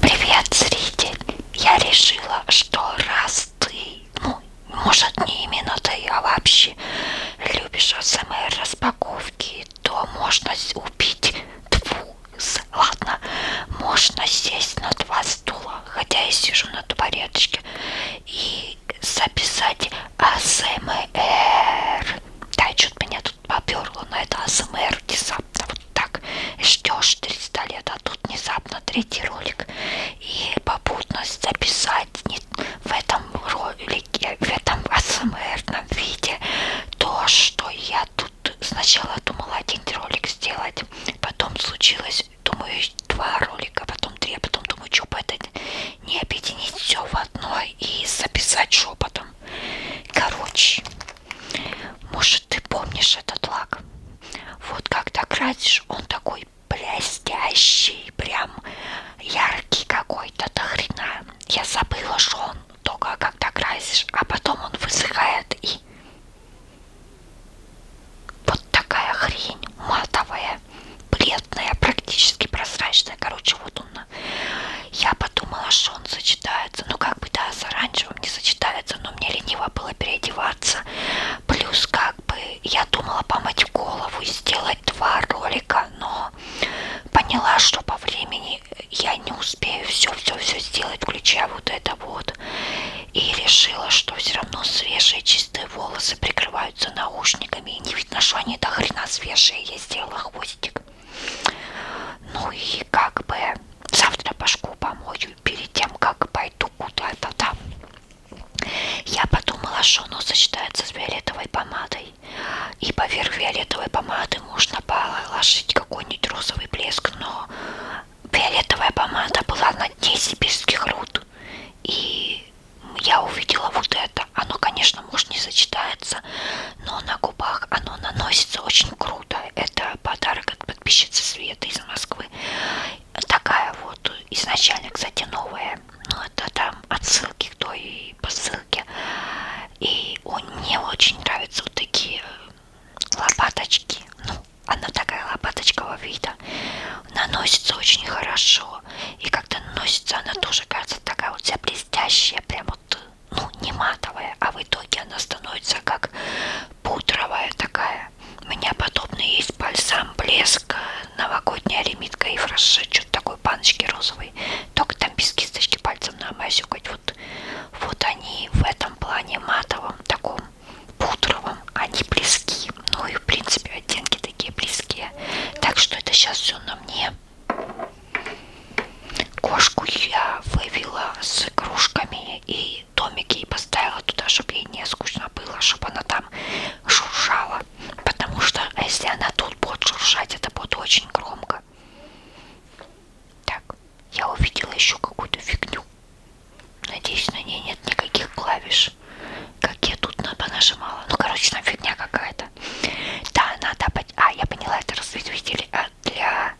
Привет, зритель! Я решила, что раз ты, ну, может не именно ты, а вообще любишь АСМР распаковки, то можно убить двух. Ладно, можно сесть на два стула, хотя я сижу на табуреточке, и записать АСМР. Да, что-то меня тут поперло на это АСМР внезапно вот так ждешь 300 лет, а тут внезапно третий ролик и попутно записать не в этом ролике, в этом АСМРном виде то, что я тут сначала думала один ролик сделать, потом случилось, думаю, два ролика, потом три, а потом думаю, что бы это не объединить все в одно и записать шепотом. Короче, может, ты помнишь этот лак? Вот когда кратишь, он такой блестящий, прям яркий какой-то до хрена. Я забыла, что он только когда красишь, а потом он высыхает и вот такая хрень матовая, бледная, практически прозрачная. Короче, вот он. Я подумала, что он сочетается. Ну, как бы да, с оранжевым не сочетается, но мне лениво было переодеваться. Плюс как бы я думала помыть голову и сделать два ролика, но поняла, что по времени я не успею все-все-все сделать, включая вот это вот. И решила, что все равно свежие чистые волосы прикрываются наушниками. И не видно, что они до хрена свежие. Я сделала хвостик. Ну и как бы завтра башку помою перед тем, как пойду куда-то там. Я подумала, что оно сочетается с фиолетовой помадой. И поверх фиолетовой помады можно положить какой-нибудь розовый блеск, но фиолетовая помада была на дне сибирских руд. И я увидела вот это. Оно, конечно, может не сочетается, но на губах оно наносится очень круто круто. Это подарок от подписчицы Света из Москвы. Такая вот изначально, кстати, новая. Ну, это там отсылки к той посылке. И он, мне очень нравятся вот такие э, лопаточки. Ну, она такая лопаточкового вида. Наносится очень хорошо. И когда наносится, она тоже кажется такая вот вся блестящая. Прям вот э, ну, не матовая, а в итоге она становится как пудровая такая. У меня подобные есть бальзам, блеск, новогодняя лимитка и фраше, что-то такое, баночки розовые. Только там без кисточки пальцем намазюкать. Вот, вот они в этом плане матовом, таком пудровом, они близки. Ну и в принципе оттенки такие близкие. Так что это сейчас все на мне. Кошку я вывела с игрушками и и домик ей поставила туда, чтобы ей не скучно было, чтобы она там шуршала. Потому что если она тут будет шуршать, это будет очень громко. Так, я увидела еще какую-то фигню. Надеюсь, на ней нет никаких клавиш. Как я тут понажимала. Ну, короче, там фигня какая-то. Да, надо... А, я поняла, это разветвитель а, для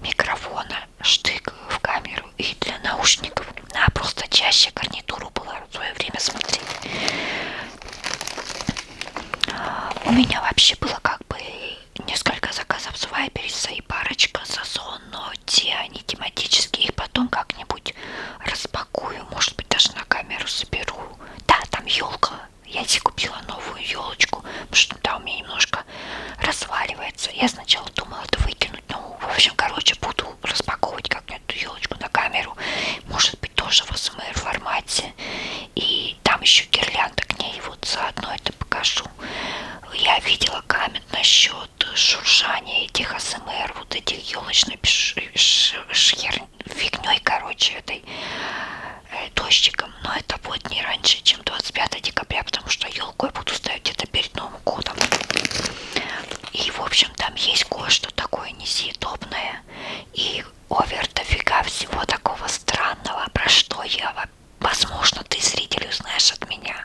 микрофона штык в камеру и для наушников. Она просто чаще гарнитуру была в свое время смотреть. У меня вообще было как бы несколько заказов с Вайбериса и парочка Сазон, но те они тематические, их потом как-нибудь распакую, может быть даже на камеру соберу. Да, там елка. Я себе купила новую елочку, потому что да, у меня немножко разваливается. Я сначала думала это выкинуть, ну, в общем, короче, буду распаковывать как-нибудь эту елочку на камеру, может быть, тоже в СМР формате, и там еще гирлянда к ней, вот заодно это покажу. Я видела камень насчет шуршания этих СМР, вот этих елочной фигней, короче, этой э, дождиком, но это вот не раньше, чем 25 декабря, потому что елку я буду ставить где-то перед Новым годом. И, в общем, там есть кое-что такое несъедобное. И овер дофига всего такого странного, про что я, возможно, ты, зритель, узнаешь от меня.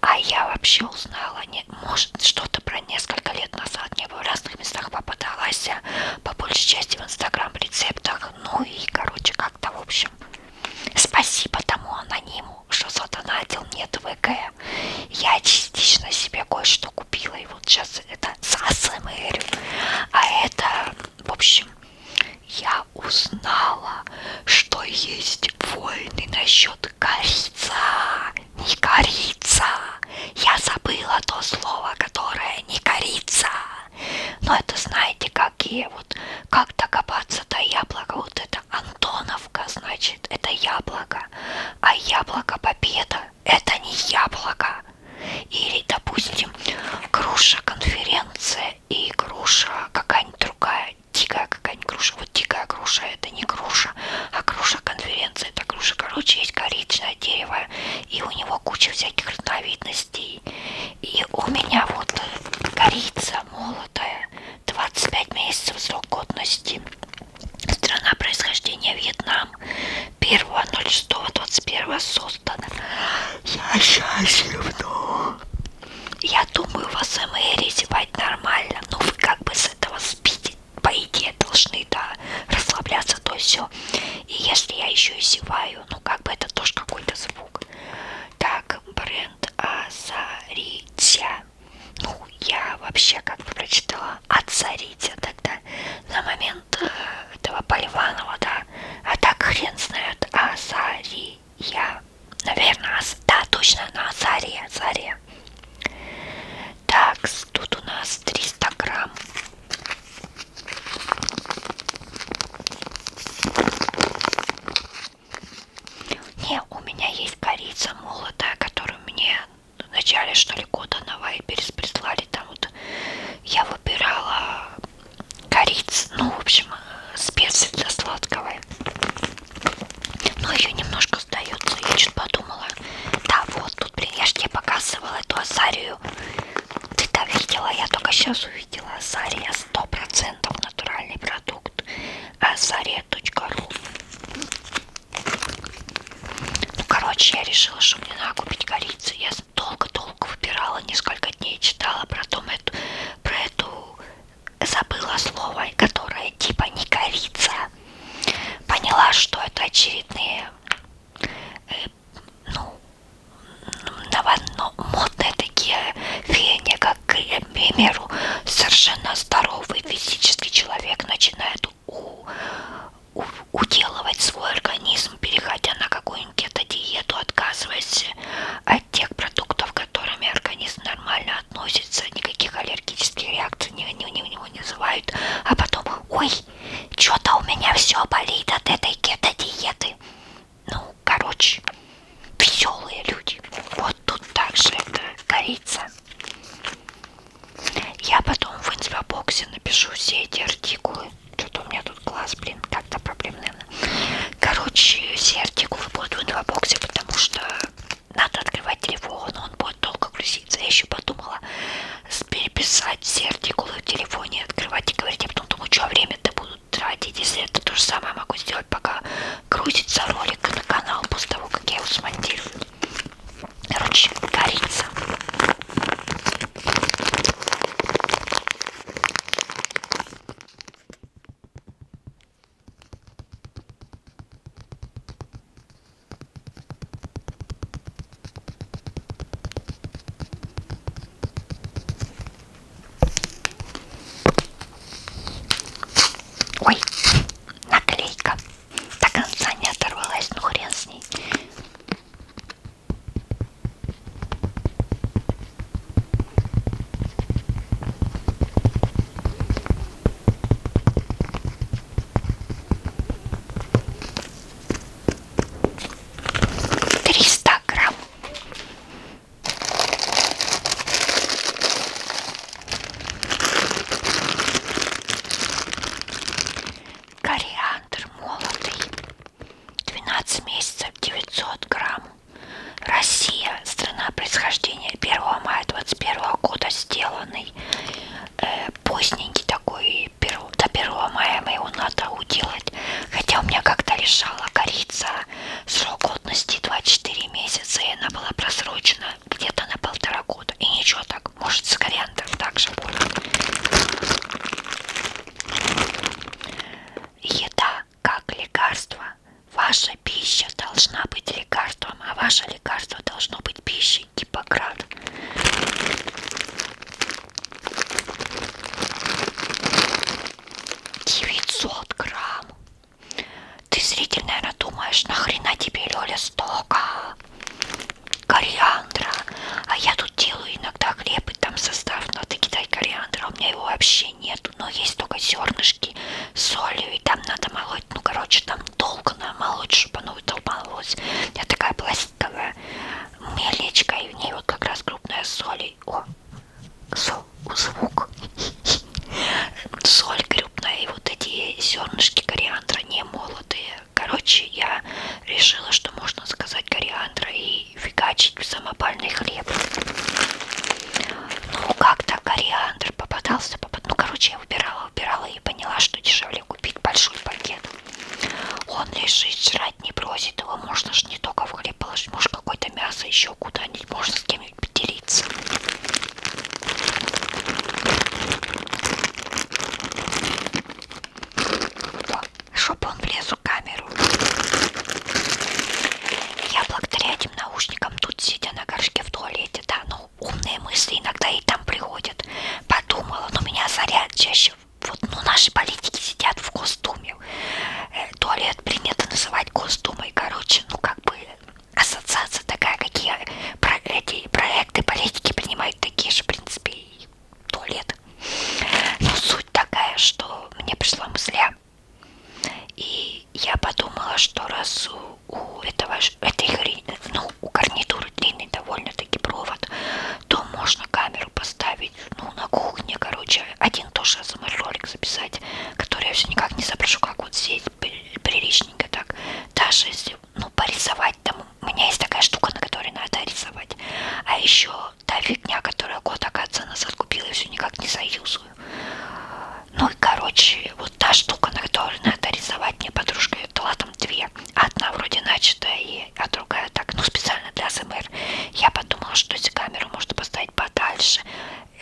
А я вообще узнала, не, может, что-то про несколько лет назад мне в разных местах попадалась, по большей части в инстаграм рецептах. Ну и, короче, как как-то, в общем. Спасибо тому анониму, что задонатил мне ТВГ. Я частично себе кое-что купила, и вот сейчас это засмырю. А это, в общем, я узнала, что есть войны насчет корица. Не корица. Я забыла то слово, которое не корица. Но это, знаете, как какие вот, как докопаться до яблока, вот это Антоновка, значит, это яблоко, а яблоко победа, это не яблоко. Или, допустим, груша конференция и груша какая-нибудь другая, дикая какая-нибудь груша, вот дикая груша, это не груша, а груша конференция, это груша, короче, есть коричное дерево, и у него куча всяких разновидностей. И у меня вот корица молотая, 25 месяцев срок годности. Страна происхождения Вьетнам. 1.06.21 создана. Я счастлив, Я думаю, вас МР зевать нормально. Ну, вы как бы с этого спите. По идее, должны, да, расслабляться, то все. И если я еще и зеваю, ну, как бы это тоже какой-то звук. Так, бренд Озаритя. Ну, я вообще как бы прочитала Озаритя тогда на момент э, этого Поливанова, да. А так хрен знает Озария. Наверное, аз... да, точно, на Озаре, Озаре. Так, тут у нас 300 грамм. Не, у меня есть корица молотая, которую мне в начале, что ли, года на Вайберис прислали. Там вот я выбирала корицу, ну, в общем, э, специи для сладкого. Но ее немножко сдается. Я что-то подумала. Да, вот тут, блин, я же тебе показывала эту асарию. Ты-то видела, я только сейчас увидела. Асария 100% натуральный продукт Заря.ру э, Ну, короче, я решила, что мне надо купить корицу. Я долго-долго выбирала, несколько дней читала, потом эту, про эту забыла слово, которое типа не корица. Поняла, что это очередные э, ну, ново, но, ну, модные такие веяния, как э, примеру, совершенно здоровый физический человек начинает у, у, уделывать свой организм, переходя на какую-нибудь диету, отказываясь от тех продуктов, к которым организм нормально относится, никаких аллергических реакций не, не, не, не вызывают, а потом, ой, что-то у меня все болит от этой кето-диеты. Ну, короче, веселые люди. Вот тут также это корица. Я потом в инсбоксе напишу все эти артикулы. Что-то у меня тут глаз, блин, как-то проблем, наверное. Короче, все артикулы будут в инфобоксе, потому что надо открывать телефон, он будет долго грузиться. Я еще подумала переписать все артикулы в телефоне, открывать и говорить, а потом думаю, что время-то буду тратить, если это то же самое могу сделать, пока крутится ролик на канал после того, как я его смонтирую. Короче, корица. Ой, наклейка. До конца не оторвалась, ну хрен с ней. Триста грамм. Кориандр молотый, 12 месяцев, 900 грамм. Россия, страна происхождения, 1 мая 21 года сделанный. Э, поздненький такой, до 1 мая мы его надо уделать. Хотя у меня как-то лежала корица срок годности 24 месяца, и она была просрочена где-то на полтора года. И ничего так, может с кориандром также будет. Еда как лекарство. Ваша пища должна быть лекарством, а ваше лекарство должно быть пищей Гиппократ. Девятьсот грамм ты, зритель, наверное, думаешь, нахрена тебе, Лёля, столько кориандра? А я тут делаю иногда хлеб и там состав, но ты кидай кориандра, у меня его вообще нету. Но есть только зернышки с солью, и там надо молоть. Ну, короче, там долго надо молоть, чтобы оно выдолбалось. У меня такая пластиковая мелечка, и в ней вот как раз крупная соль. О, сол, звук. Соль грибная и вот эти зернышки кориандра не молотые. Короче, я решила, что можно сказать кориандра и фигачить в самопальный хлеб. Ну, как-то кориандр попадался, попад... ну, короче, я выбирала, выбирала и поняла, что дешевле купить большой пакет. Он лежит, жрать не просит, его можно ж не только в хлеб положить, может какое-то мясо еще куда-нибудь, можно с кем мной поделиться. Чтобы он влез в камеру. Я благодаря этим наушникам тут сидя на горшке в туалете, да, ну умные мысли иногда и там приходят. Подумала, но ну, меня заряд чаще. Вот, ну наши политики сидят в Госдуме. Э, туалет принято называть Госдумой, короче, ну как бы ассоциация такая, какие про эти проекты политики принимают такие же, в принципе, и туалет. Но суть такая, что мне пришла мысля, и я подумала, что раз у, у этого, этой, ну, у гарнитуры длинный довольно-таки провод, то можно камеру поставить, ну, на кухне, короче, один тоже саморолик записать, который я все никак не соображу, как вот сесть, приличненько так. Даже если, ну, порисовать там, у меня есть такая штука, на которой надо рисовать. А еще та фигня, которая год, оказывается, нас откупила, и все никак не заюзую. Ну и, короче, вот та штука, на которой надо рисовать, мне подружка дала там две. Одна вроде начатая, и, а другая так, ну, специально для СМР. Я подумала, что эти камеры можно поставить подальше,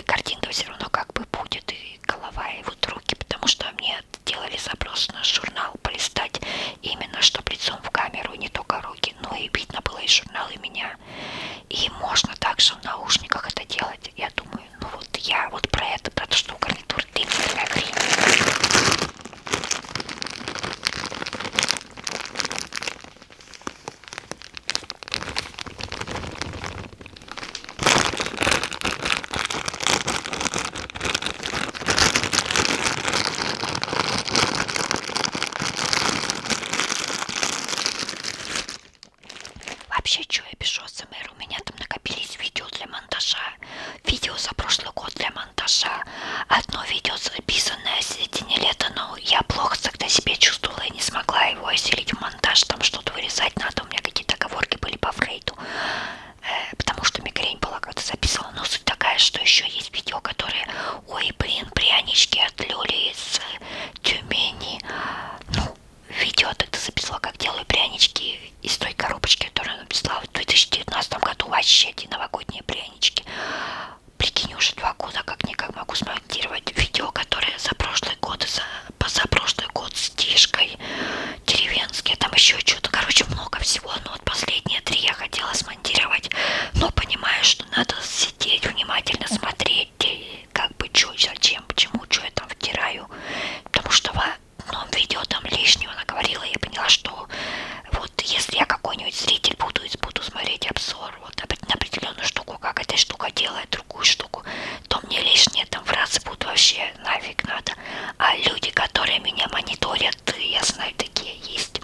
картинка все равно как бы будет, и голова, и вот руки, потому что мне делали запрос на журнал полистать именно, чтобы лицом в камеру, и не только руки, но и видно было и журнал, и меня. И можно также в наушниках это делать, я думаю, ну вот я вот про это, про то, что у гарнитур длинная такая хрень. Вообще, что я пишу СМР? У меня там накопились видео для монтажа. Видео за прошлый год для монтажа. Одно видео записанное в середине лета, но я плохо тогда себя чувствовала и не смогла его оселить в монтаж, там что-то вырезать надо. У меня какие-то оговорки были по Фрейду, э, потому что мигрень была, когда записывала. Но суть такая, что еще есть видео, которые, ой, блин, прянички от Люли из э, Тюмени. Ну, видео тогда записала, как делаю прянички из той коробочки, которую она писала в 2019 году. Вообще эти новогодние прянички. Прикинь, уже два года как-никак могу смонтировать видео, которые за прошлый год и за позапрошлый год с Тишкой, деревенские, там еще что-то, короче, много всего, но ну, вот последние три я хотела смонтировать, но понимаю, что надо сидеть, внимательно смотреть, как бы, что, зачем, почему, что я там втираю, потому что в одном видео там лишнего наговорила, я поняла, что вот если я какой-нибудь зритель буду, буду смотреть обзор, вот на определенную штуку, как эта штука делает другую штуку, то мне лишние там фразы будут вообще нафиг надо. А люди, которые меня мониторят, я знаю, такие есть.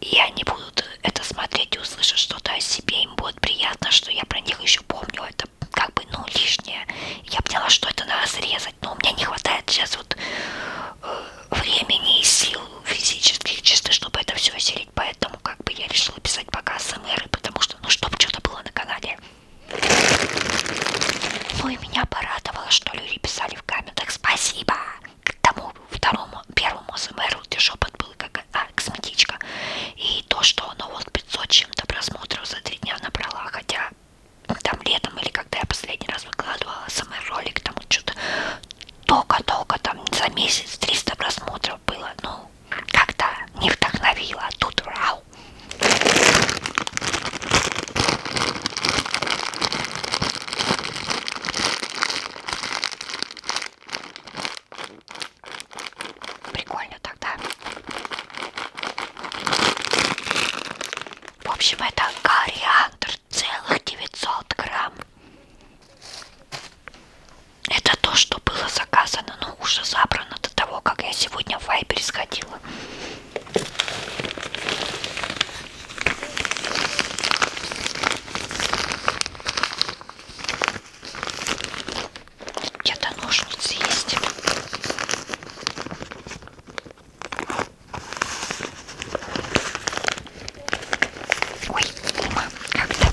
И они будут это смотреть и услышать что-то о себе. Им будет приятно, что я про них еще помню. Это как бы, ну, лишнее. Я поняла, что это надо срезать. Но у меня не хватает сейчас вот э, времени и сил физических чисто, чтобы это все осилить. Поэтому как бы я решила писать пока СМР, потому что, ну, чтобы что-то было на канале. Вы меня порадовало, что люди писали в комментах. Спасибо! К тому второму, первому СМРу ты шепот был как а, косметичка. И то, что оно ну, вот 500 чем-то просмотров за три дня набрала, хотя там летом или когда я последний раз выкладывала СМР ролик, там вот что-то только-только там за месяц 300 просмотров было. Ну, вау, как-то не вдохновила, а тут вау. Прикольно тогда. В общем, это кориандр целых 900 грамм. Это то, что было заказано давно ну, уже забрано до того, как я сегодня в Вайбере сходила. Где-то ножницы есть. Ой, мимо, как-то.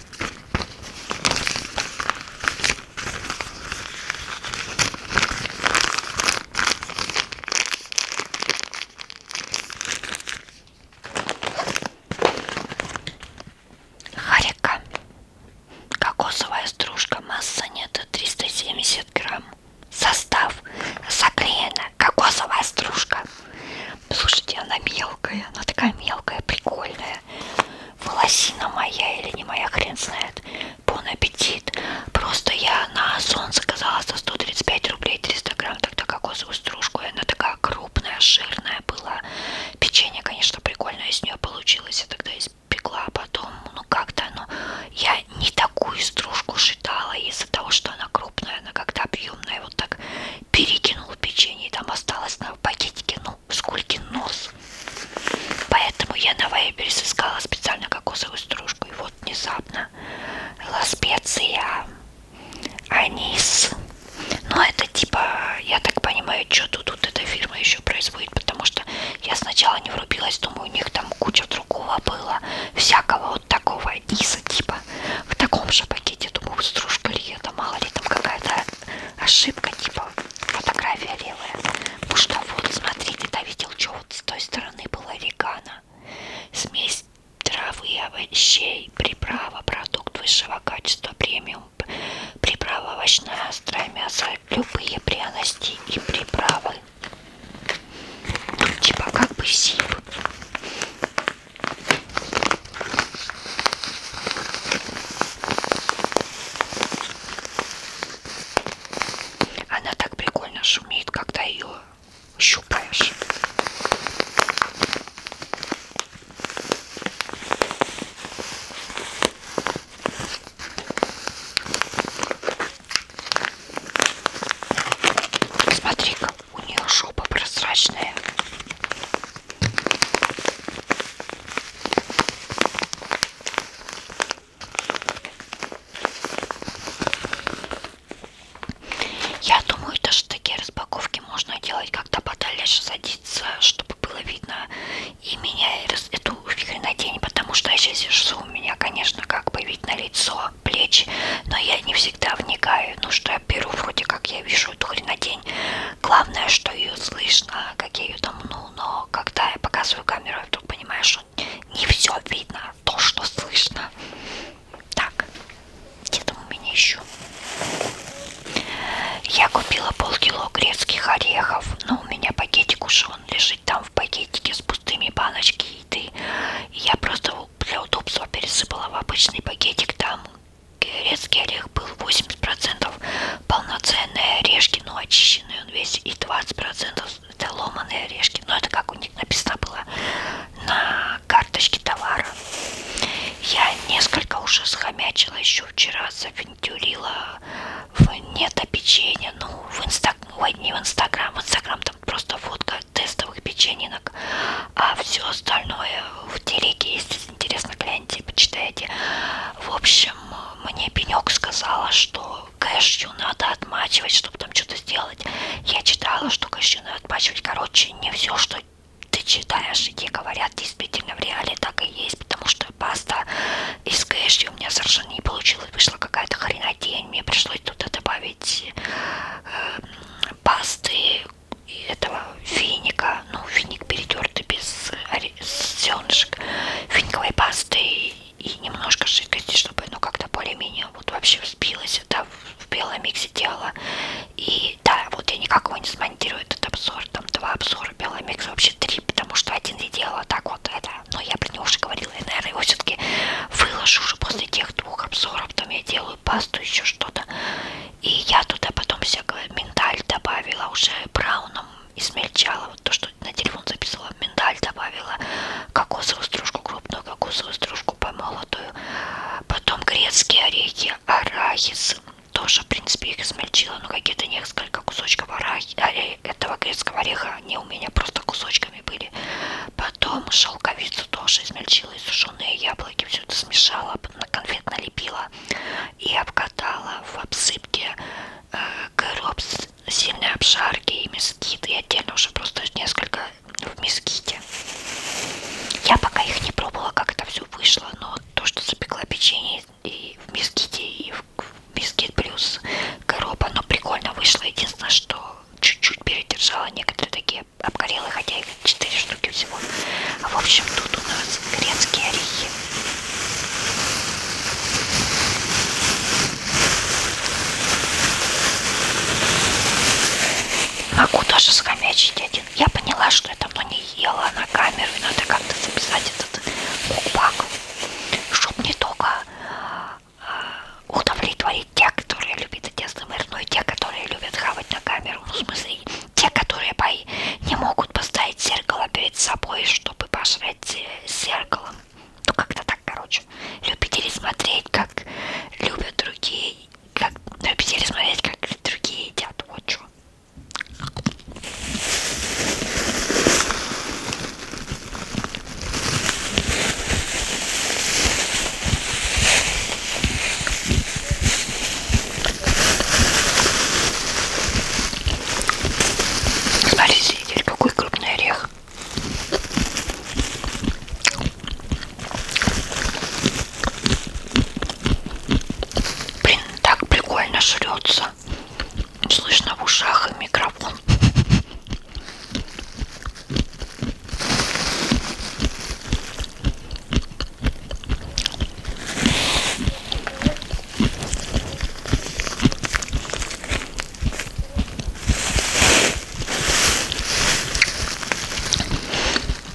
Харика. Кокосовая стружка, масса нет, 370 грамм. Состав. Заклеена кокосовая стружка. Слушайте, она мелкая, она такая мелкая, прикольная. Волосина моя или не моя, хрен знает. Бон аппетит. Просто я на Озон заказала за 135 рублей 300 грамм тогда кокосовую стружку. И она такая крупная, жирная была. Печенье, конечно, прикольное из нее получилось. Я тогда испекла, а потом, ну как-то оно... Я не такую стружку шитала из-за того, что она крупная, она как-то объемная. Вот так перекинул печенье, там осталось на пакетике, ну, скольки нос. Поэтому я на Вайберис искала специально кокосовую стружку. И вот внезапно ласпеция, анис. Ну, это типа, я так понимаю, что тут, тут эта фирма еще производит, потому что я сначала не врубилась, думаю, у них там куча другого было, всякого вот такого аниса, типа, в таком же пакете, думаю, стружка ли это мало ли там какая-то ошибка, типа фотография левая. Потому что вот, смотрите, да, видел, что вот с той стороны была вегана. Смесь травы и овощей, приправа, продукт высшего качества, премиум, приправа овощная, острое мясо, любые пряности и приправы. Типа как бы сип. Она так прикольно шумит, когда ее щупаешь. Смотри-ка, у нее шопа прозрачная. Я думаю, даже такие распаковки можно делать как-то подальше садиться, чтобы было видно и меня, и раз, эту хренотень, потому что я сейчас вижу, у меня, конечно, как бы видно лицо, плечи, но я не всегда вникаю, ну что я беру, вроде как я вижу эту хренотень, Главное, что ее слышно, как я ее домну, но когда я показываю камеру, я вдруг понимаю, что не все видно, а то, что слышно. Так, где там у меня еще? Я купила полкило грецких орехов, но ну, у меня пакетик уже, он лежит там в пакетике с пустыми баночки еды. И я просто для удобства пересыпала в обычный пакетик там, Герецкий орех был 80% полноценные орешки, но очищенные он весь, и 20% это ломаные орешки. Но это как у них написано было на карточке товара. Я несколько уже схомячила еще вчера, завентюрила в нето печенье, ну в инстаграм, ну, ой, не в инстаграм, в инстаграм там просто фотка тестовых печенинок, а все остальное в телеге есть если интересно, гляньте, почитайте. В общем, мне Пенек сказала, что кэшью надо отмачивать, чтобы там что-то сделать. Я читала, что кэшью надо отмачивать. Короче, не все, что ты читаешь, и те говорят, действительно в реале так и есть, потому что паста из кэшью у меня совершенно не получилось. Вышла какая-то хренотень, мне пришлось туда добавить э, пасты этого финика, ну финик перетертый без зернышек, финиковой пасты и немножко жидкости, чтобы ну как-то более-менее вот вообще взбилось это в белом миксе дело. И да, вот я никак его не смонтирую этот обзор, там два обзора белого микса, вообще три, потому что один я делала так вот это, но я про него уже говорила, и наверное его все-таки выложу уже после тех двух обзоров, там я делаю пасту, еще что-то. И я туда потом всякое миндаль добавила, уже брауном измельчала, вот то, что на телефон записывала, миндаль добавила, кокосовую стружку крупную, кокосовую стружку помолотую, потом грецкие орехи, арахис, тоже, в принципе, их измельчила, но какие-то несколько кусочков арахи, оре, э, этого грецкого ореха, они у меня просто кусочками были. Потом шелковицу тоже измельчила, и сушеные яблоки, все это смешала, на конфет налепила и обкатала в обсыпке э, короб с сильной обшарки и мескит. И отдельно уже просто несколько в меските. Я пока их не пробовала, как это все вышло, но то, что запекла печенье и в меските, и в мескит плюс короб, оно прикольно вышло. Единственное, что чуть-чуть передержала некоторые такие обгорелые, хотя и или 4 штуки всего. А в общем, тут у нас грецкие орехи. Могу даже схомячить один. Я поняла, что я давно не ела на камеру, и надо как-то записать этот букбак, чтобы не только а, удовлетворить те, которые любят эти СМР, но и те, которые любят хавать на камеру. Ну, в смысле, те, которые не могут поставить зеркало перед собой, чтобы пожрать э, зеркалом. Ну, как-то так, короче. Любители смотреть, как любят другие. Как... Любители смотреть, как другие едят. Вот что. Смотрите, теперь какой крупный орех. Блин, так прикольно жрется. Слышно в ушах и микрофон.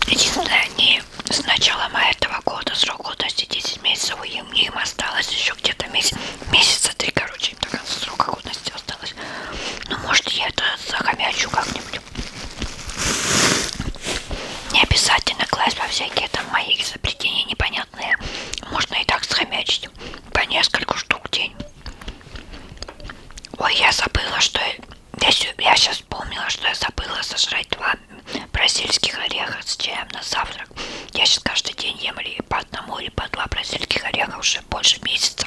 Единственное, они с начала мая этого года, срок годности 10 месяцев, и мне им осталось еще где-то месяц, месяца три, короче, до конца срока годности осталось. Ну, может, я это захомячу как-нибудь. Не обязательно класть во всякие там мои изобретения непонятные. Можно и так схомячить по несколько штук в день. Ой, я забыла, что... Я, я сейчас вспомнила, что я забыла сожрать два бразильских ореха с чаем на завтрак. Я сейчас каждый день ем или по одному, или по два бразильских ореха уже больше месяца.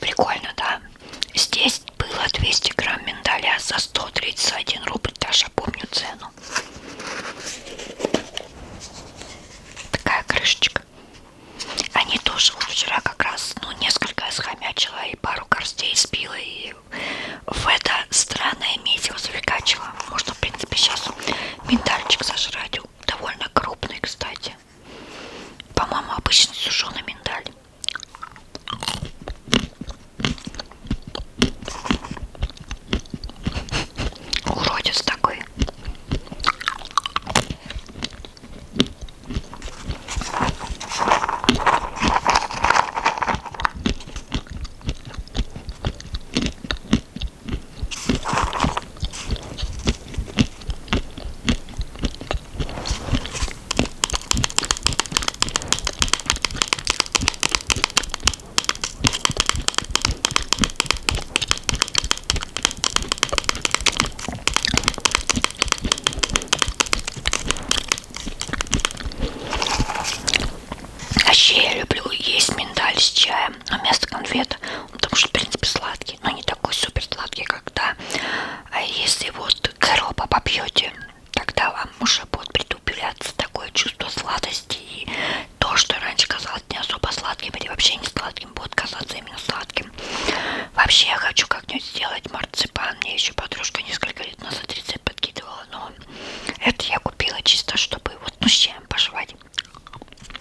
Прикольно, да? Здесь было 200 грамм миндаля за 131 рубль, даже помню цену. Такая крышечка. Они тоже вот вчера как раз, ну, несколько схомячила и пару горстей спила, и в это странное месиво завлекачила. Можно, в принципе, сейчас миндальчик сожрать. Довольно крупный, кстати вкусные. По-моему, обычно сушеный миндаль. Уродец такой. Вообще я люблю есть миндаль с чаем вместо конфет потому что в принципе сладкий, но не такой супер сладкий, когда а если вот коропа попьете, тогда вам уже будет притупляться такое чувство сладости и то, что раньше казалось не особо сладким или вообще не сладким, будет казаться именно сладким. Вообще я хочу как-нибудь сделать марципан, мне еще подружка несколько лет назад рецепт подкидывала, но это я купила чисто, чтобы вот ну с чем пожевать.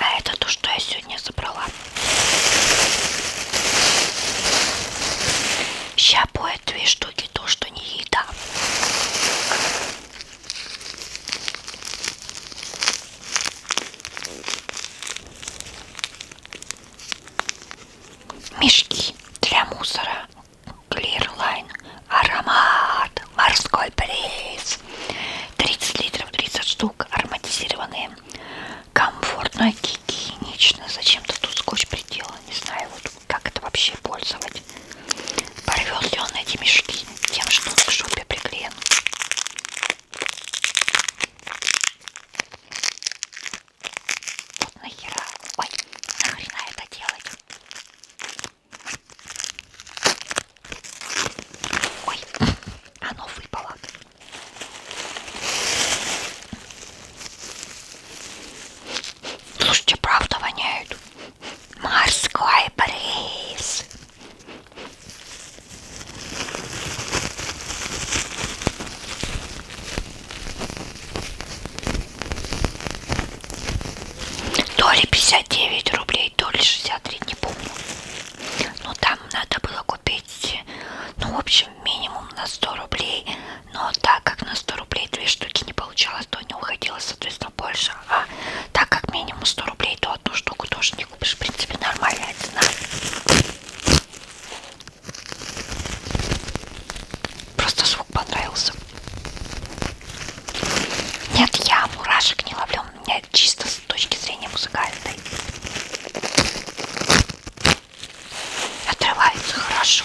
А это то, что я сегодня забрала. Сейчас будет две штуки, то, что не еда. Мешки для мусора. Клирлайн. Аромат. Морской приз. 30 литров, 30 штук. Ароматизированные. Комфортно, гигиенично. Зачем-то тут скотч приделан. Не знаю, вот как это вообще пользовать. Порвет ли он эти мешки тем, что он к шубе приклеен? Вот нахера. Ой, нахрена это делать? Ой, оно выпало. Слушайте, правда воняют морской бриз. То ли 59 рублей, то ли 63, не помню. Но там надо было купить, ну, в общем, минимум на 100 рублей. Но так как на 100 рублей две штуки не получалось, ладонь уходила, соответственно, больше. А так как минимум 100 рублей, то одну штуку тоже не купишь. В принципе, нормальная цена. Просто звук понравился. Нет, я мурашек не ловлю. У меня чисто с точки зрения музыкальной. Отрывается хорошо.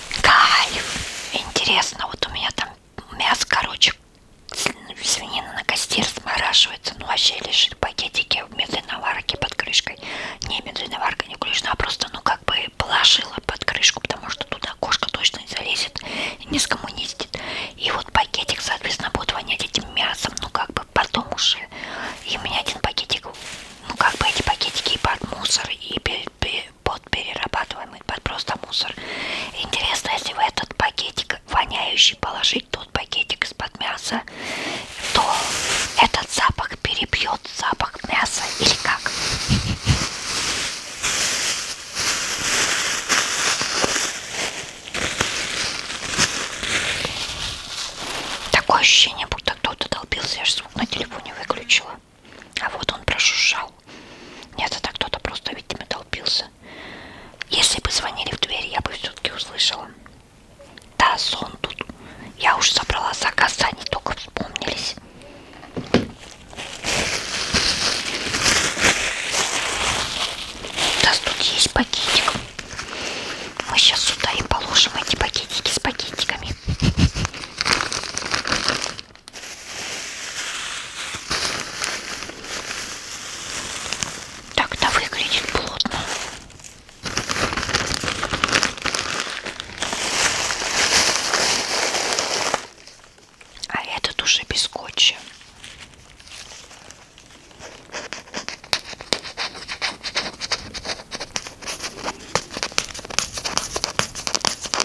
Кайф! Интересно, вот у меня там мясо, короче, свинина на костер смораживается. Ну, вообще лежит в пакетике в медленной варке под крышкой. Не медленная варка не включена, а просто, ну, как бы положила под крышку, потому что туда кошка точно не залезет, не скоммунистит. И вот пакетик, соответственно, будет вонять этим мясом, ну, как бы потом уже. И у меня один пакетик, ну, как бы эти пакетики и под мусор, и под перерабатываемый, под просто мусор. Интересно, если вы этот пакетик воняющий положить, тот пакетик из-под мяса, то этот запах перебьет запах мяса или как? Такое ощущение, будто кто-то долбился, я же звук на телефоне выключила. А вот он прошуршал. Нет, это кто-то просто, видимо, толпился. Если бы звонили в дверь, я бы все-таки услышала. Да, сон тут. Я уж собрала заказ, а они только вспомнились. У нас тут есть пакетик. Мы сейчас сюда и положим эти пакетики с пакетиками. Так-то выглядит плотно. А этот уже без скотча.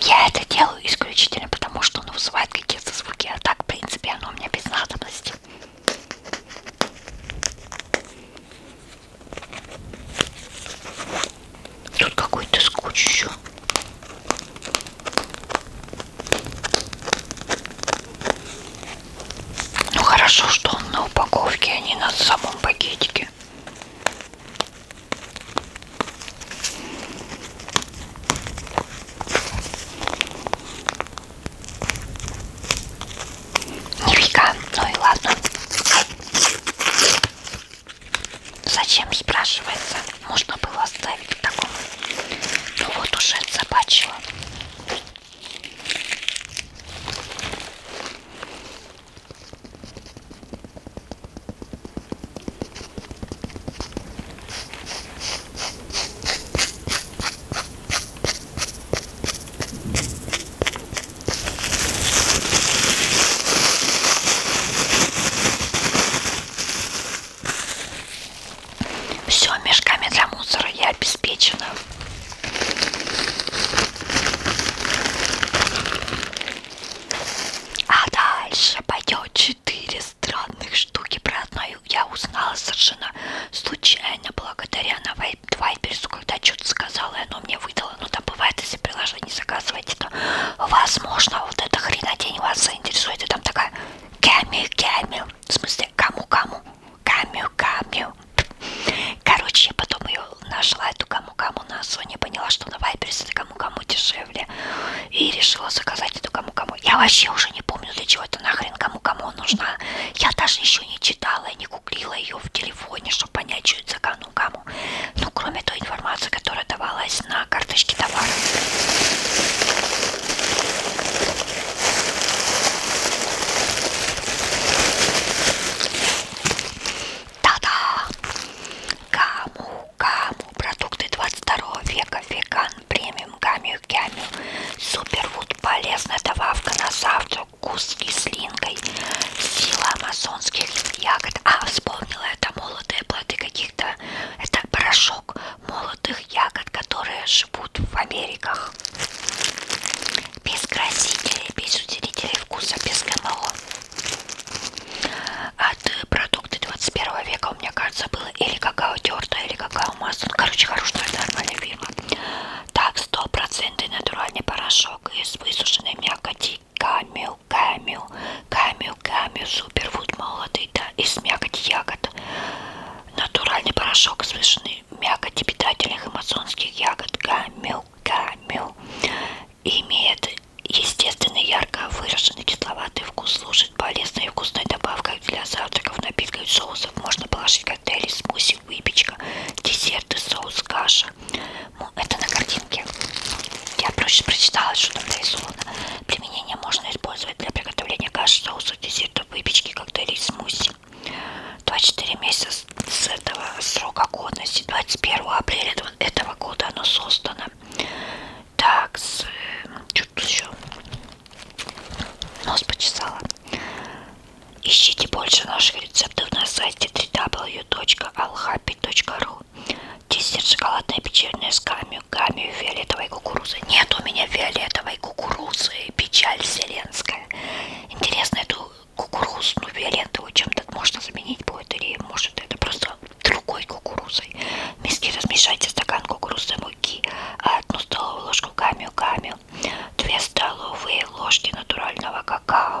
Я это делаю исключительно потому, что оно вызывает какие-то звуки, а так, в принципе, оно у меня без надобности. Тут какой-то скотч еще. Ну хорошо, что он на упаковке, а не на самом пакетике. Нифига, ну и ладно. Зачем спрашивается? Можно было оставить в таком. Ну вот уже собачьего. Все, мешками для мусора я обеспечена. А дальше пойдет четыре странных штуки. Про одну я узнала совершенно случайно, благодаря на Вайберсу, когда что-то сказала, и оно мне выдало. Ну, там бывает, если приложение заказываете, то, возможно, вот эта хренотень а вас заинтересует. И там такая камю-камю. В смысле, кому-кому. Камю-камю. Короче, я потом ее нашла, эту кому-кому на Sony, поняла, что на Вайберсе это кому-кому дешевле дешевле. И решила заказать эту кому-кому. Я вообще уже не помню, для чего это нахрен кому-кому нужна. Я даже еще не читала и не гуглила ее в телефоне, чтобы понять, что это за кому-кому. Ну, кроме той информации, которая давалась на карточке товара. Да-да! гаму, гаму, продукты 22 века, веган, премиум, гамию, гамию, супервуд, полезная добавка на завтрак, вкус с кислинкой, сила амазонских ягод. А, вспомнила, это молодые плоды каких-то, это порошок молодых ягод, которые живут в Америках. Без красителей, без усилителей вкуса, без ГМО. От продукты 21 века, у меня кажется, было или какао тертое, или какао масло. Ну, короче, хорошая, нормальная фирма. Так, 100% натуральный порошок из высушенной мякоти камю, камю, камю, камю, суперфуд молотый, да, из мякоти ягод. Натуральный порошок из высушенной мякоти питательных амазонских ягод камю, камю. Имеет Естественный, ярко выраженный, кисловатый вкус служит полезной и вкусной добавкой для завтраков, напитков и соусов. Можно положить коктейли, смуси, выпечка, десерты, соус, каша. Ну, это на картинке. Я проще прочитала, что там нарисовано. Применение можно использовать для приготовления каши, соусов, десертов, выпечки, коктейлей, смуси. 24 месяца с этого срока годности 21 апреля этого года оно создано так, с... что тут еще? Нос почесала. Ищите больше наших рецептов на сайте www.alhappy.ru Десерт шоколадное печенье с гамью, гамью фиолетовой кукурузы. Нет у меня фиолетовой кукурузы, печаль вселенская. Интересно, эту кукурузную фиолетовую чем-то можно заменить будет, или может это просто другой кукурузой. Миски размешайте стакан кукурузной муки, а одну столовую ложку камью-камью, 2 столовые ложки натурального какао,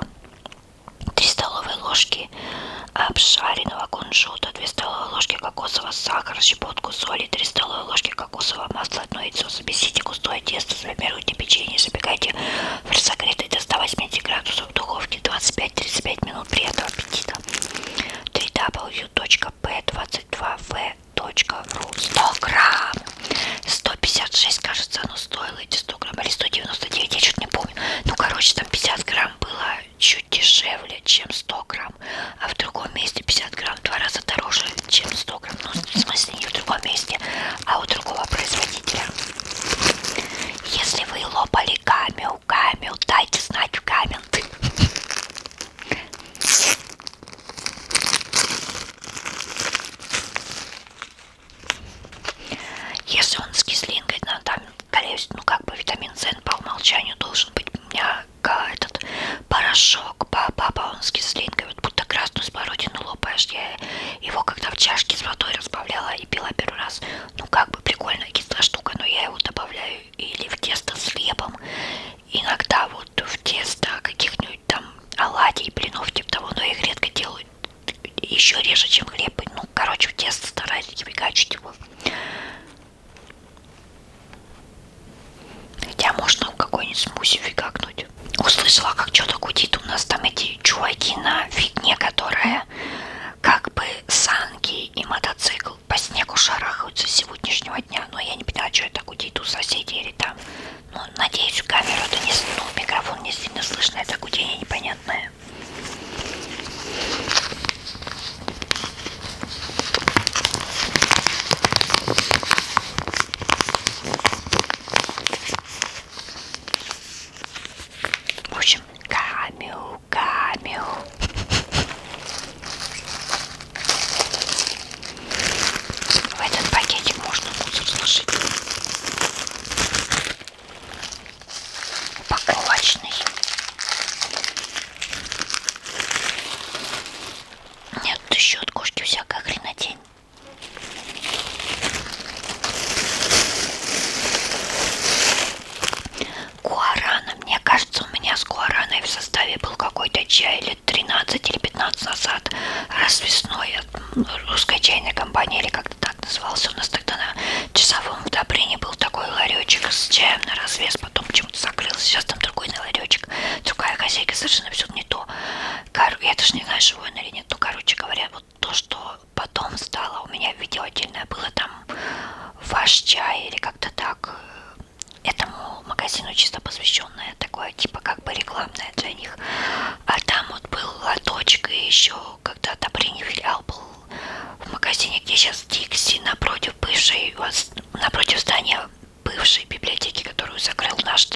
3 столовые ложки обшаренного кунжута, 2 столовые ложки кокосового сахара, щепотку соли, 3 столовые ложки кокосового масла, 1 яйцо. Замесите густое тесто, сформируйте печенье, запекайте в разогретой до 180 градусов в духовке 25-35 минут. Приятного аппетита! 3 W p22v.ru 100 грамм 156 кажется оно стоило эти 100 грамм или 199 я что-то не помню ну короче там 50 грамм было чуть дешевле чем 100 грамм а в другом месте 50 грамм два раза дороже чем 100 грамм ну в смысле не в другом месте а у другого производителя если вы лопали гамме Камил, Камил, дайте знать в комменты. Если он с кислинкой, ну, там, скорее всего, ну, как бы витамин С по умолчанию должен быть у меня этот порошок, папа, он с кислинкой, вот будто красную смородину лопаешь. Я его когда в чашке с водой разбавляла и пила первый раз, ну, как бы прикольная кислая штука, но я его добавляю или в тесто с хлебом. Иногда вот в тесто каких-нибудь там оладий, блинов типа того, но их редко делают еще реже, чем хлеб. Ну, короче, в тесто стараюсь не прикачивать его. Хотя можно в какой-нибудь смузи выкакнуть. Услышала, как что-то гудит у нас там эти чуваки на фигне, которая как бы санки и мотоцикл мотоцикл по снегу шарахаются с сегодняшнего дня. Но я не понимаю, что это гудит у соседей или там. Ну, надеюсь, камеру-то не... Ну, микрофон не сильно слышно. Это гудение непонятное. В общем, камеру камео. В этот пакетик можно мусор сложить. Упаковочный. Нет, тут еще от кошки всякая хренотень гуарана. Мне кажется, у меня с гуараной в составе был какой-то чай лет 13 или 15 назад. Развесной от русской чайной компании, или как-то так назывался. У нас тогда на часовом удобрении был такой ларечек с чаем на развес. Потом почему-то закрылся. Сейчас там другой ларечек. Другая хозяйка совершенно все не то. Кор... Я даже не знаю, живой он или нет. Ну, короче говоря, вот то, что потом стало, у меня видео отдельное было там ваш чай или как-то так э, этому магазину чисто посвященное такое типа как бы рекламное для них а там вот был лоточек и еще когда-то Брини филиал был в магазине где сейчас Дикси напротив бывшей напротив здания бывшей библиотеки которую закрыл наш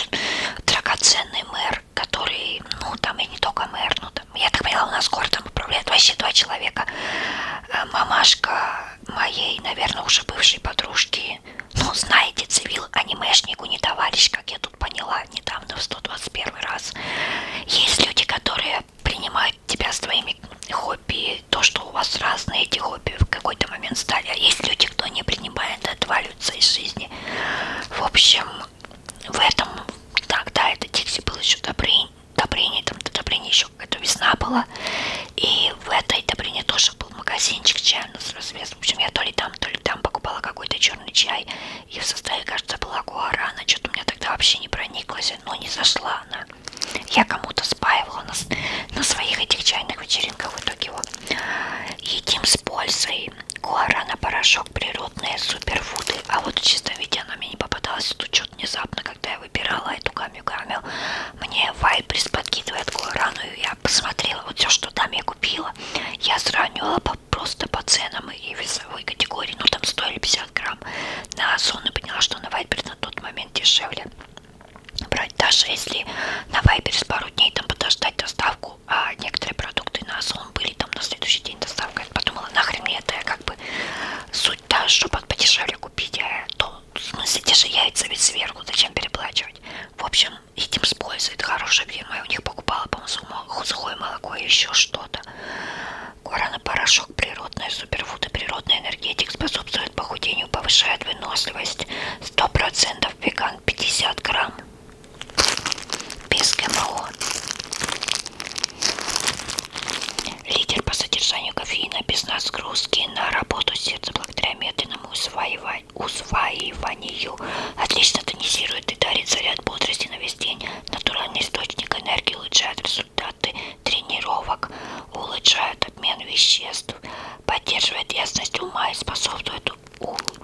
драгоценный мэр который ну там и не только мэр ну там я так поняла у нас городом управляет вообще два человека э, мамашка моей, наверное, уже бывшей подружки. Ну, знаете, цивил анимешнику не товарищ, как я тут поняла недавно в 121 раз. Есть люди, которые принимают тебя с твоими хобби, то, что у вас разные эти хобби в какой-то момент стали. А есть люди, кто не принимает, отваливаются из жизни. В общем, в этом, так, да, это Дикси был еще добрый, Добрыня, там, Добрыня еще какая-то весна была. И в этой Добрине тоже был магазинчик чайный с развесом. В общем, я то ли там, то ли там покупала какой-то черный чай. И в составе, кажется, была гуарана. Что-то у меня тогда вообще не прониклась, но не зашла она. Я кому-то спаивала на, на своих этих чайных вечеринках. В итоге его едим с пользой. Гуарана, порошок, природные суперфуды. А вот в чистом виде она мне не попадалась. Тут что-то внезапно, когда я выбирала эту камью-камью, мне Вайбрис подкидывает Гуарану, и я посмотрела вот все, что там я купила. Я сравнила по, просто по ценам и весовой категории, ну там стоили 50 грамм на Озон, и поняла, что на Вайбрис на тот момент дешевле брать, даже если на Вайберс пару дней там подождать доставку, а некоторые продукты на Озон были там на следующий день доставка, я подумала, нахрен мне это, я как бы суть-то, чтобы подешевле купить, а то в смысле, те же яйца ведь сверху, зачем переплачивать? В общем, этим использует хорошее вино. Я у них покупала, по-моему, сухое молоко и еще что-то. Гуарана-порошок, природная суперфуд и природный энергетик способствует похудению, повышает выносливость. 100% веган, 50 грамм. Без ГМО. Лидер по содержанию кофеина без нагрузки на работу сердца благодаря медленному усваиванию, усваиванию. Отлично тонизирует и дарит заряд бодрости на весь день. Натуральный источник энергии улучшает результаты тренировок, улучшает обмен веществ, поддерживает ясность ума и способствует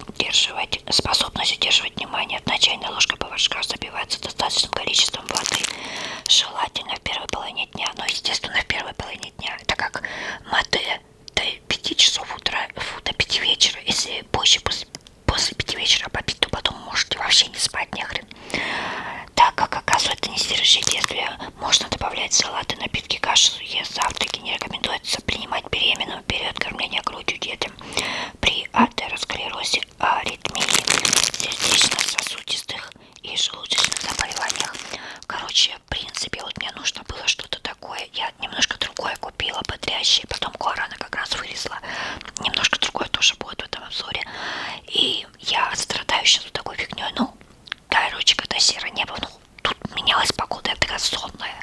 удерживать, способность удерживать внимание. Одна чайная ложка поваршка забивается достаточным количеством воды. Желательно в первой половине дня, но естественно в первой половине течение дня, так как Маде до 5 часов утра, фу, до 5 вечера, если позже после, после 5 вечера попить, то потом можете вообще не спать нехрен. Так как оказывает нестережие действия, можно добавлять салаты, напитки, каши, завтраки. Не рекомендуется принимать беременным в период кормления грудью детям при атеросклерозе, аритмии сердечно-сосудистых и желудочных заболеваниях. Короче, в принципе, вот мне нужно было что-то такое. Я немножко другое купила, бодрящее. Потом гуарана как раз вылезла. Немножко другое тоже будет в этом обзоре. И я страдаю сейчас вот такой фигней. Ну, короче, когда серо небо, ну, тут менялась погода, я такая сонная.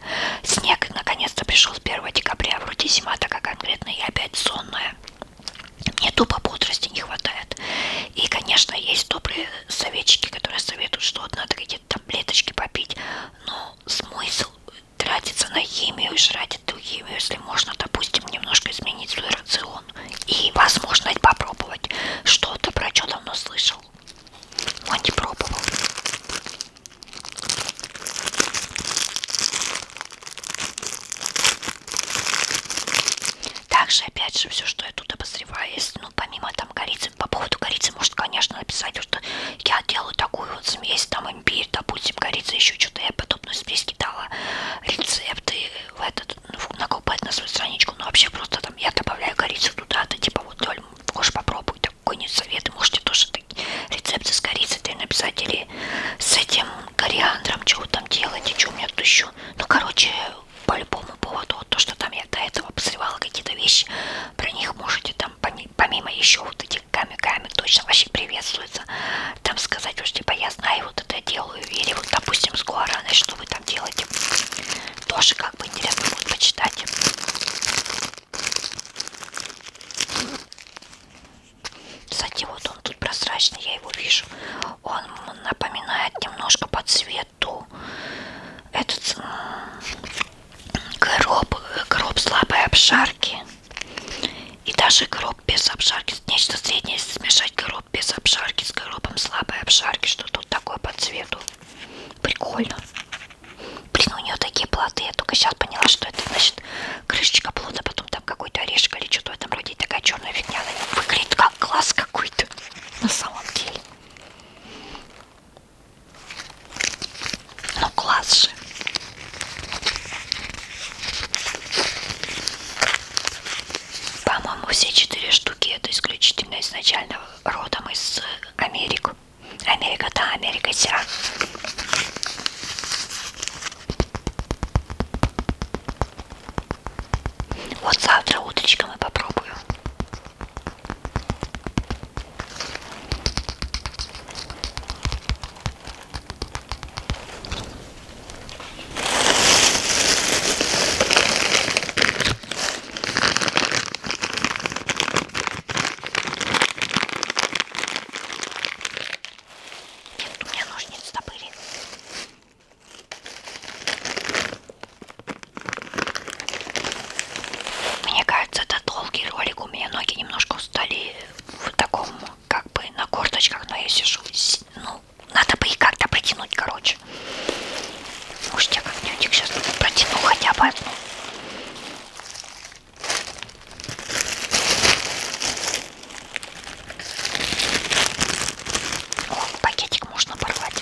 Снег наконец-то пришел с 1 декабря. Вроде зима такая конкретная, и опять сонная. Мне тупо бодрости не хватает помогает. И, конечно, есть добрые советчики, которые советуют, что вот надо какие-то таблеточки попить, но смысл тратиться на химию и жрать эту химию, если можно, допустим, немножко изменить свой рацион и возможность попробовать что-то, про что давно слышал, но не пробовал. Также, опять же, все, что я тут обозреваю, если, ну, помимо там корицы, по поводу корицы, может, конечно, написать, что я делаю такую вот смесь, там, имбирь, допустим, корица, еще что-то, я подобную смесь кидала, рецепты в этот, ну, накупать на свою страничку, но ну, вообще просто там я добавляю корицу туда-то, типа, вот, Лёль, может, попробуй какой-нибудь совет, можете тоже такие рецепты с корицей ты написать, или с этим кориандром, чего там делать, и что у меня тут еще, ну, короче, по любому поводу. Вот то, что там я до этого обозревала какие-то вещи, про них можете там, помимо еще вот этих камиками, точно вообще приветствуется, там сказать, уж типа я знаю, вот это делаю, или вот, допустим, с Гуараной, что вы там делаете. Тоже как бы интересно будет почитать. Кстати, вот он тут прозрачный, я его вижу. Он напоминает немножко по цвету эту этот гроб, гроб слабой обшарки и даже гроб без обшарки, нечто среднее, если смешать гроб без обшарки с гробом слабой обшарки, что тут такое по цвету. Прикольно. Блин, у нее такие плоды, я только сейчас поняла, что это значит крышечка плода, потом там какой-то орешек или что-то в этом роде, такая черная фигня, она выглядит как глаз какой-то идет на самом деле. Ну класс же. По-моему, все четыре штуки это исключительно изначально родом из Америки. Америка, да, Америка вся. Вот завтра утречком и попробую. Нет, у меня ножницы были. Мне кажется, это долгий ролик. У меня ноги немножко устали в таком, как бы, на корточках, но я сижу. Ну, надо бы их как-то протянуть, короче. Может, я как-нибудь сейчас протяну хотя бы одну. О, пакетик можно порвать.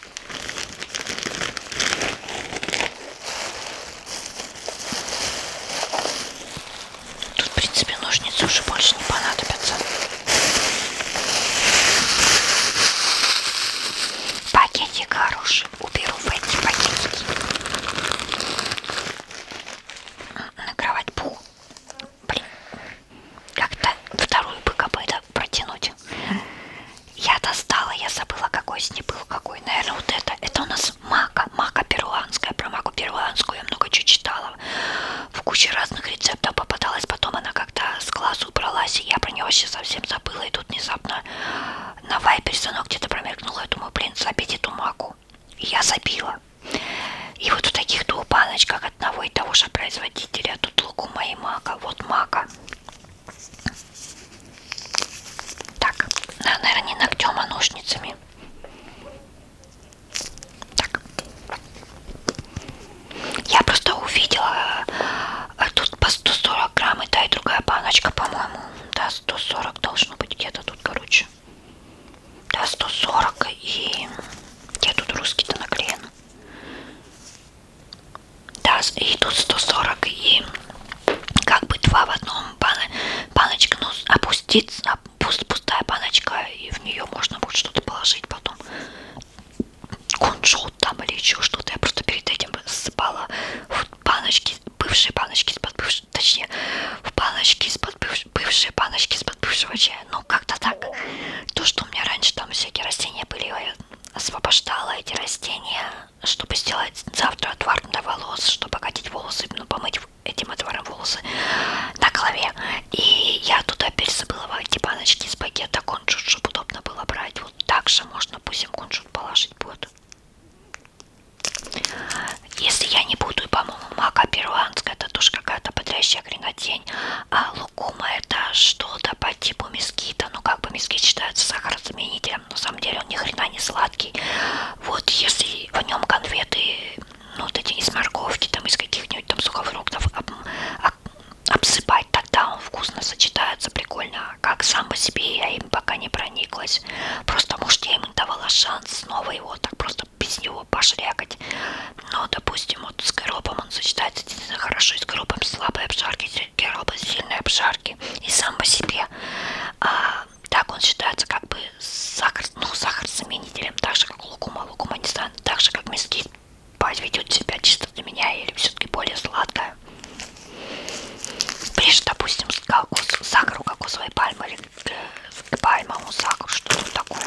Тут, в принципе, ножницы уже больше не понадобятся. Пакетик хороший. Уберу в эти пакетики. На кровать пух. Блин. Как-то вторую БКБ да, протянуть. Я достала, я забыла, какой с ней был, какой. Наверное, вот это. Это у нас мака. Мака перуанская. Про маку перуанскую я много чего читала. В куче разных рецептов попадалась. Потом она как-то с глаз убралась, и я про нее вообще совсем забыла. И тут внезапно на вайпере оно где-то промелькнуло. Я думаю, блин, забить эту маку. И я забила. И вот в таких двух баночках одного и того же производителя. Тут луку моей мака. Вот мака. Так, наверное, не ногтем, а ножницами. Так. Я просто увидела, э, тут по 140 грамм и та и другая баночка, по-моему. Да, 140 должно быть где-то тут, короче. Да, 140 и... Где тут русский-то наклеен? Да, и тут 140 и как бы два в одном баночка, ну опустится, пустая баночка, и в нее можно будет что-то положить потом. Кунжут там или еще что-то. Я просто перед этим засыпала в баночки, бывшие баночки из-под бывшего, точнее, в баночки из-под бывшего, бывшие баночки из-под бывшего чая. Ну, как-то так. То, что у меня раньше там всякие растения были, я освобождала эти растения чтобы сделать завтра отвар для волос, чтобы катить волосы, ну, помыть этим отваром волосы на голове. И я туда перезабыла эти типа, баночки из пакета кончут, чтобы удобно было брать. Вот так же можно, пусть им кончут положить будет. Если я не буду, по-моему, мака перуанская, это тоже какая-то бодрящая хренотень. А лукума это что-то по типу мескита, ну как бы мескит считается сахарозаменителем, на самом деле он ни хрена не сладкий. Вот если в нем конфеты, ну вот эти из морковки, там из каких-нибудь там сухофруктов об, об, обсыпать, тогда он вкусно сочетается, прикольно. А как сам по себе я им пока не прониклась. Просто может я ему давала шанс снова его так просто без него пошрякать. Но ну, допустим вот с коробом он сочетается действительно хорошо, и с коробом слабые обжарки, с коробом сильные обжарки сахарки. И сам по себе а, так он считается как бы сахар, ну, сахар-заменителем, так же как лукума, лукума не станет, так же как мезгит ведет себя чисто для меня или все-таки более сладкая. Ближе, допустим, кокос, сахару кокосовой пальмы или к пальмовому сахару, что-то такое.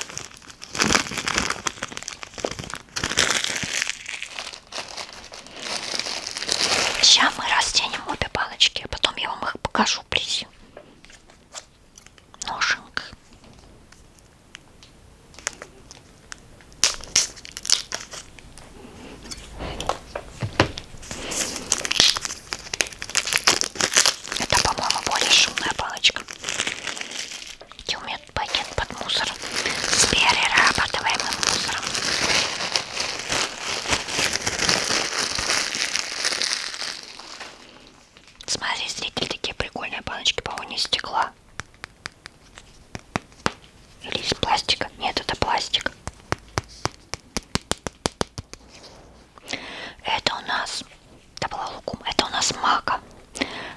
Сейчас мы растянем обе палочки, а потом я вам их покажу ближе. Ноженка. Это, по-моему, более шумная палочка. Где у меня пакет под мусором с перерабатываемым мусором? Смотри, зритель, такие прикольные баночки, по-моему, не стекла. Или из пластика? Нет, это пластик. Это у нас... Это была лукум. Это у нас мака.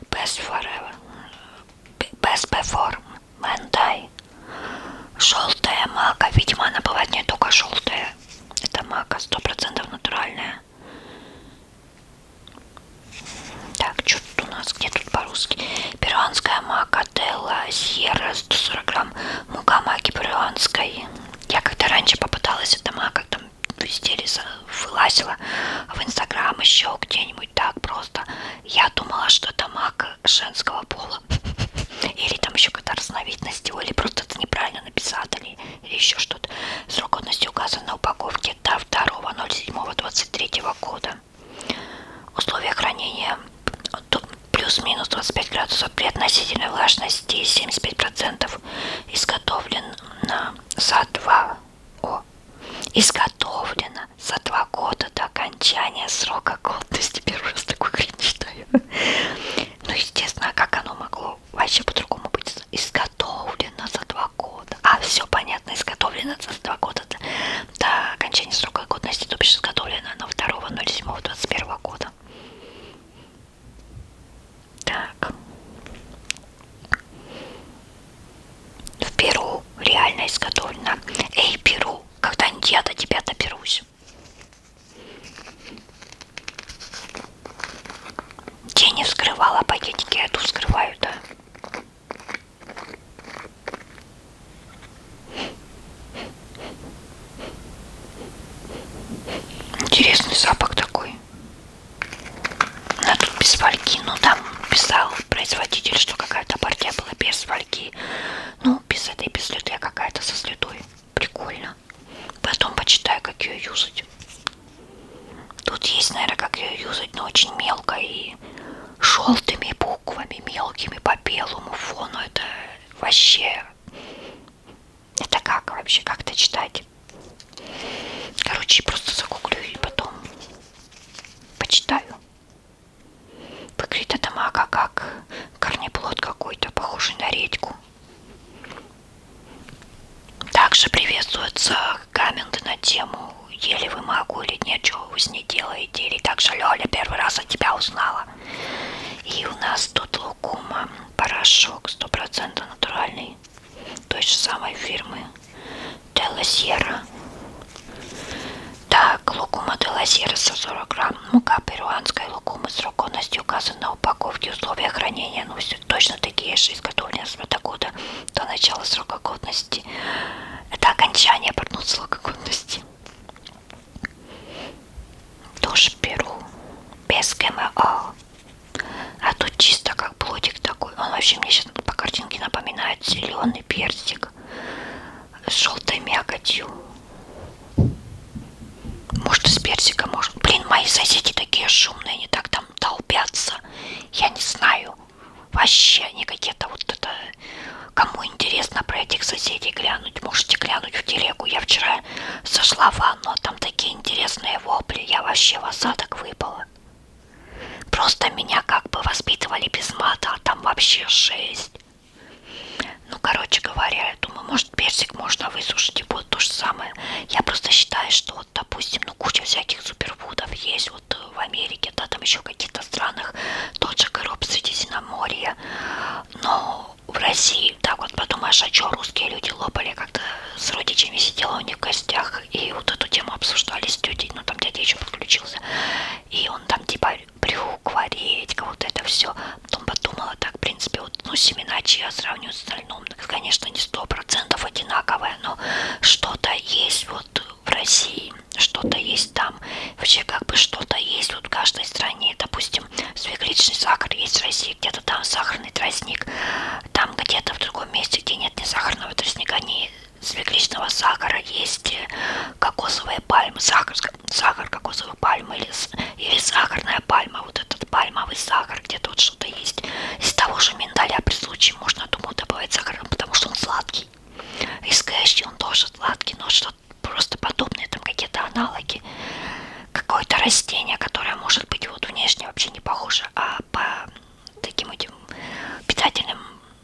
Best forever. Best before. Мэндай. Желтая мака. Видимо, она бывает не только желтая. Это мака 100% натуральная. Так, что тут у нас? Где тут по-русски? Перуанская мака Делла Сьерра 140 грамм. Мука маки перуанской. Я когда раньше попыталась эта мака, там везде вылазила в инстаграм еще где-нибудь так просто. Я думала, что это мак женского пола. Или там еще какая-то разновидность, или просто это неправильно написали, или еще что-то. Срок годности указан на упаковке до 2.07.23 года. Условия хранения плюс-минус 25 градусов при относительной влажности 75% изготовлен за 2 о, изготовлено за 2 года до окончания окончания срока годности. Первый раз такой хрень читаю. Ну, естественно, а как оно могло вообще по-другому быть изготовлено за два года? А, все понятно, изготовлено за два года до, до окончания срока годности, то бишь изготовлено на 2.07.21 года. Так. В Перу реально изготовлено. Эй, Перу, когда-нибудь я до тебя доберусь дальше. Я не вскрывала пакетики, я тут вскрываю, да? Интересный запах такой. Она тут без фольги, но ну, там писал производитель, что какая-то партия была без фольги почти. Ну, без этой, без следы, а какая-то со следой. Прикольно. Потом почитаю, как ее юзать. Тут есть, наверное, как ее юзать, но очень мелко и желтыми буквами, мелкими по белому фону. Это вообще... Это как вообще? Как это читать? Короче, просто загуглю и потом почитаю. Выглядит эта мака как корнеплод какой-то, похожий на редьку. Также приветствуются комменты на тему «Ели вы маку или нет, чего вы с ней делаете?» Или также «Лёля, первый раз от тебя узнала». И у нас тут лукума, порошок 100% натуральный, той же самой фирмы Телосьера. Так, лукума де лазерса 40 грамм, мука перуанская лукума срок годности указан на упаковке, условия хранения носят точно такие же изготовления с мотогода до начала срока годности. Это окончание портного срока годности. Тоже беру без ГМО. А тут чисто как плотик такой. Он вообще мне сейчас по картинке напоминает зеленый персик с желтой мякотью. Может, из персика, может. Блин, мои соседи такие шумные, они так там толпятся. Я не знаю. Вообще, они какие-то вот это... Кому интересно про этих соседей глянуть, можете глянуть в телегу. Я вчера сошла в ванну, а там такие интересные вопли. Я вообще в осадок выпала. Просто меня как бы воспитывали без мата, а там вообще жесть. Ну, короче говоря, я думаю, может, персик можно высушить, и будет то же самое. Я просто считаю, что, вот, допустим, ну, куча всяких суперфудов есть вот э, в Америке, да, там еще в каких-то странах, тот же короб Средиземноморья. Но в России, так вот подумаешь, а что русские люди лопали, как-то с родичами сидела у них в гостях, и вот эту тему обсуждали с тетей, ну, там дядя еще подключился, и он там, типа, приукваречка, вот это все. Потом подумала так, в принципе, вот, ну, семена чья сравнивают с остальным. Конечно, не сто процентов одинаковое, но что-то есть вот в России, что-то есть там. Вообще, как бы что-то есть вот в каждой стране. Допустим, свекличный сахар есть в России, где-то там сахарный тростник. Там где-то в другом месте, где нет ни сахарного тростника, ни свекличного сахара, есть э, кокосовые пальмы, сахар сахар кокосовой пальмы или, или сахарная пальма, вот этот пальмовый сахар, где тут что-то есть. Из того же миндаля при случае можно, думаю, добавить сахар, потому что он сладкий. Из кэши он тоже сладкий, но что-то просто подобное, там какие-то аналоги. Какое-то растение, которое может быть вот внешне вообще не похоже, а по таким этим питательным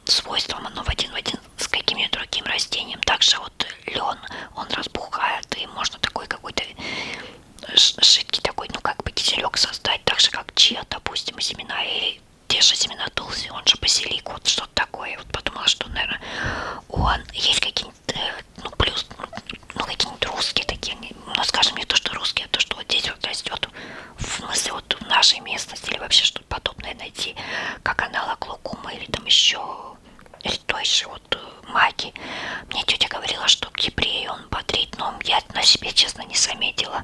свойствам оно в один в один с каким-нибудь другим растением. Также вот лен, он разбухает, и можно такой какой-то э, жидкий такой, ну как бы киселек создать, так же как чиа, допустим, семена или те же семена тулси, он же базилик, вот что-то такое. Я вот подумала, что, наверное, он есть какие-нибудь, э, ну плюс, ну какие-нибудь русские такие, ну скажем, не то, что русские, а то, что вот здесь вот растет, в смысле ну, вот в нашей местности или вообще что-то подобное найти, как аналог лукума или там еще редкой вот э, маки. Мне тетя говорила, что к епрею он бодрит, но я на себе, честно, не заметила.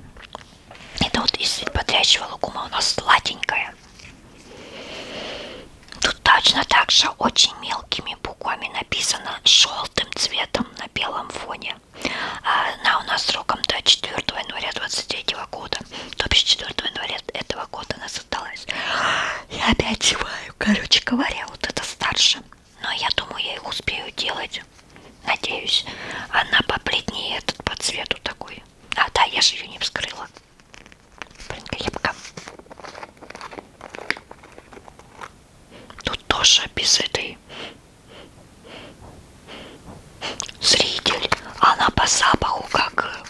Это вот из бодрящего лукума у нас сладенькая. Тут точно так же очень мелкими буквами написано желтым цветом на белом фоне. А, она у нас сроком до 4 января 23 года, то бишь 4 января этого какого года она создалась. Я опять чеваю. Короче говоря, вот это старше. Но я думаю, я их успею делать. Надеюсь. Она побледнее этот по цвету такой. А, да, я же ее не вскрыла. Блин, крепко. Тут тоже без этой зритель. Она по запаху как э,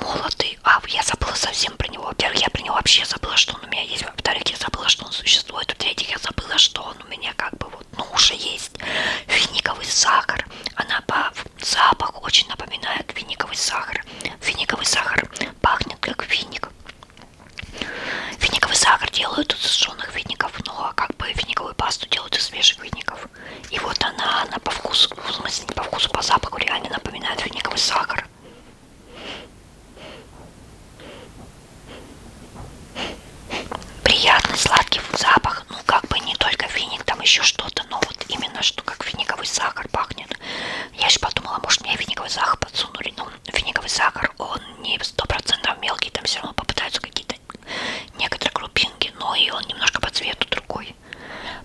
молотый. А, я забыла совсем про него. Во-первых, я про него вообще забыла, что он у меня есть. Во-вторых, я забыла, что он существует. В-третьих, я забыла, что он у меня как бы вот, ну, уже есть. Финиковый сахар. Она по запаху очень напоминает финиковый сахар. Финиковый сахар пахнет как финик. Финиковый сахар делают из сушеных фиников, ну а как бы финиковую пасту делают из свежих фиников. И вот она, она по вкусу, ну, в смысле не по вкусу, по запаху реально напоминает финиковый сахар. Приятный сладкий запах, ну как бы не только финик, там еще что-то, но вот именно что как финиковый сахар пахнет. Я же подумала, может мне финиковый сахар подсунули, но финиковый сахар, он не сто процентов мелкий, там все равно попытаются какие-то некоторые крупинки, но и он немножко по цвету другой.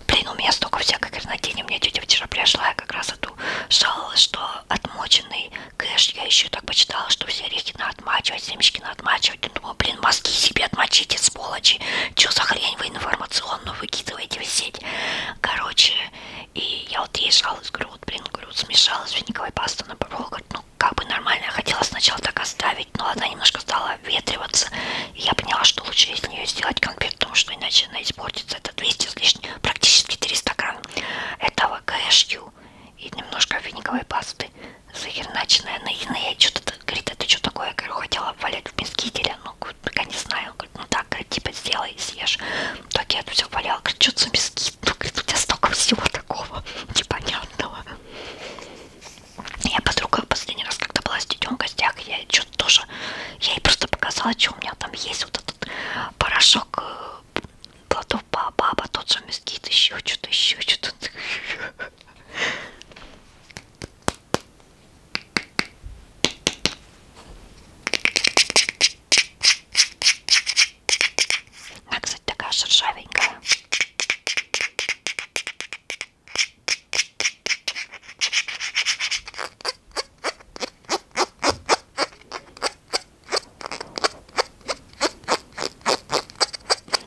Блин, у меня столько всякой гранатини. Мне тетя вчера пришла, я как раз эту жаловалась, что отмоченный кэш, я еще так почитала, что все орехи надо отмачивать, семечки надо отмачивать. Я думаю, блин, мозги себе отмочите, сволочи. Че за хрень вы информационную выкидываете в сеть? Короче, и я вот ей жалуюсь, говорю, вот, блин, говорю, вот, смешала свиниковой пасту на попробовала, говорю, ну, как бы нормально, я хотела сначала так оставить, но она немножко стала ветриваться, и я поняла, что лучше из нее сделать конфет, потому что иначе она испортится. Это 200 с лишним, практически 300 грамм этого кэшью и немножко финиковой пасты захерначенная ну, ну, на иные. Что-то говорит, это что такое? Я говорю, хотела валять в мискителе, ну, пока не знаю. Он говорит, ну так, говорит, типа сделай и съешь. В итоге я это все валяла. Говорит, что за мискит? Ну, говорит, у тебя столько всего такого непонятного. Я подруга в последний раз, когда была с детем в гостях, я что-то тоже я ей просто показала, что у меня там есть вот этот порошок э, плодов баба, тот же мескит, еще что-то, еще что-то. Она, кстати, такая шершавенькая.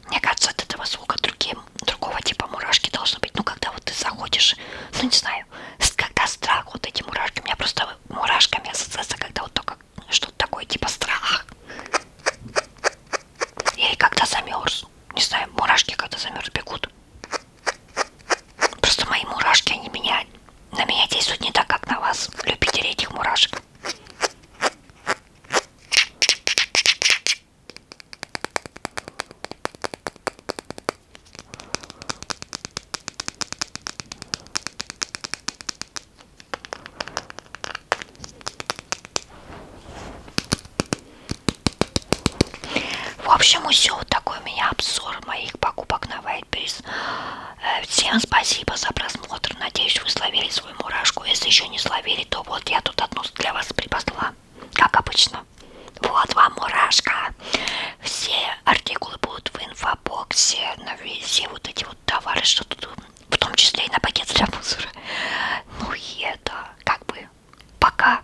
Мне кажется, от этого звука другим, другого типа мурашки должны быть. Ну, когда вот ты заходишь, ну, не знаю, когда страх, вот эти мурашки. У меня просто мурашками ассоциация, когда вот только что-то такое, типа страх. Или когда замерз. Не знаю, мурашки когда замерз бегут. Просто мои мурашки, они меня, на меня действуют не так, как на вас, любители этих мурашек. В общем, все, вот такой у меня обзор моих покупок на Вайтберис. Э, всем спасибо за просмотр. Надеюсь, вы словили свою мурашку. Если еще не словили, то вот я тут одну для вас припасла. Как обычно. Вот вам мурашка. Все артикулы будут в инфобоксе. На все вот эти вот товары, что тут, в том числе и на пакет для мусора. Ну и это, как бы, пока.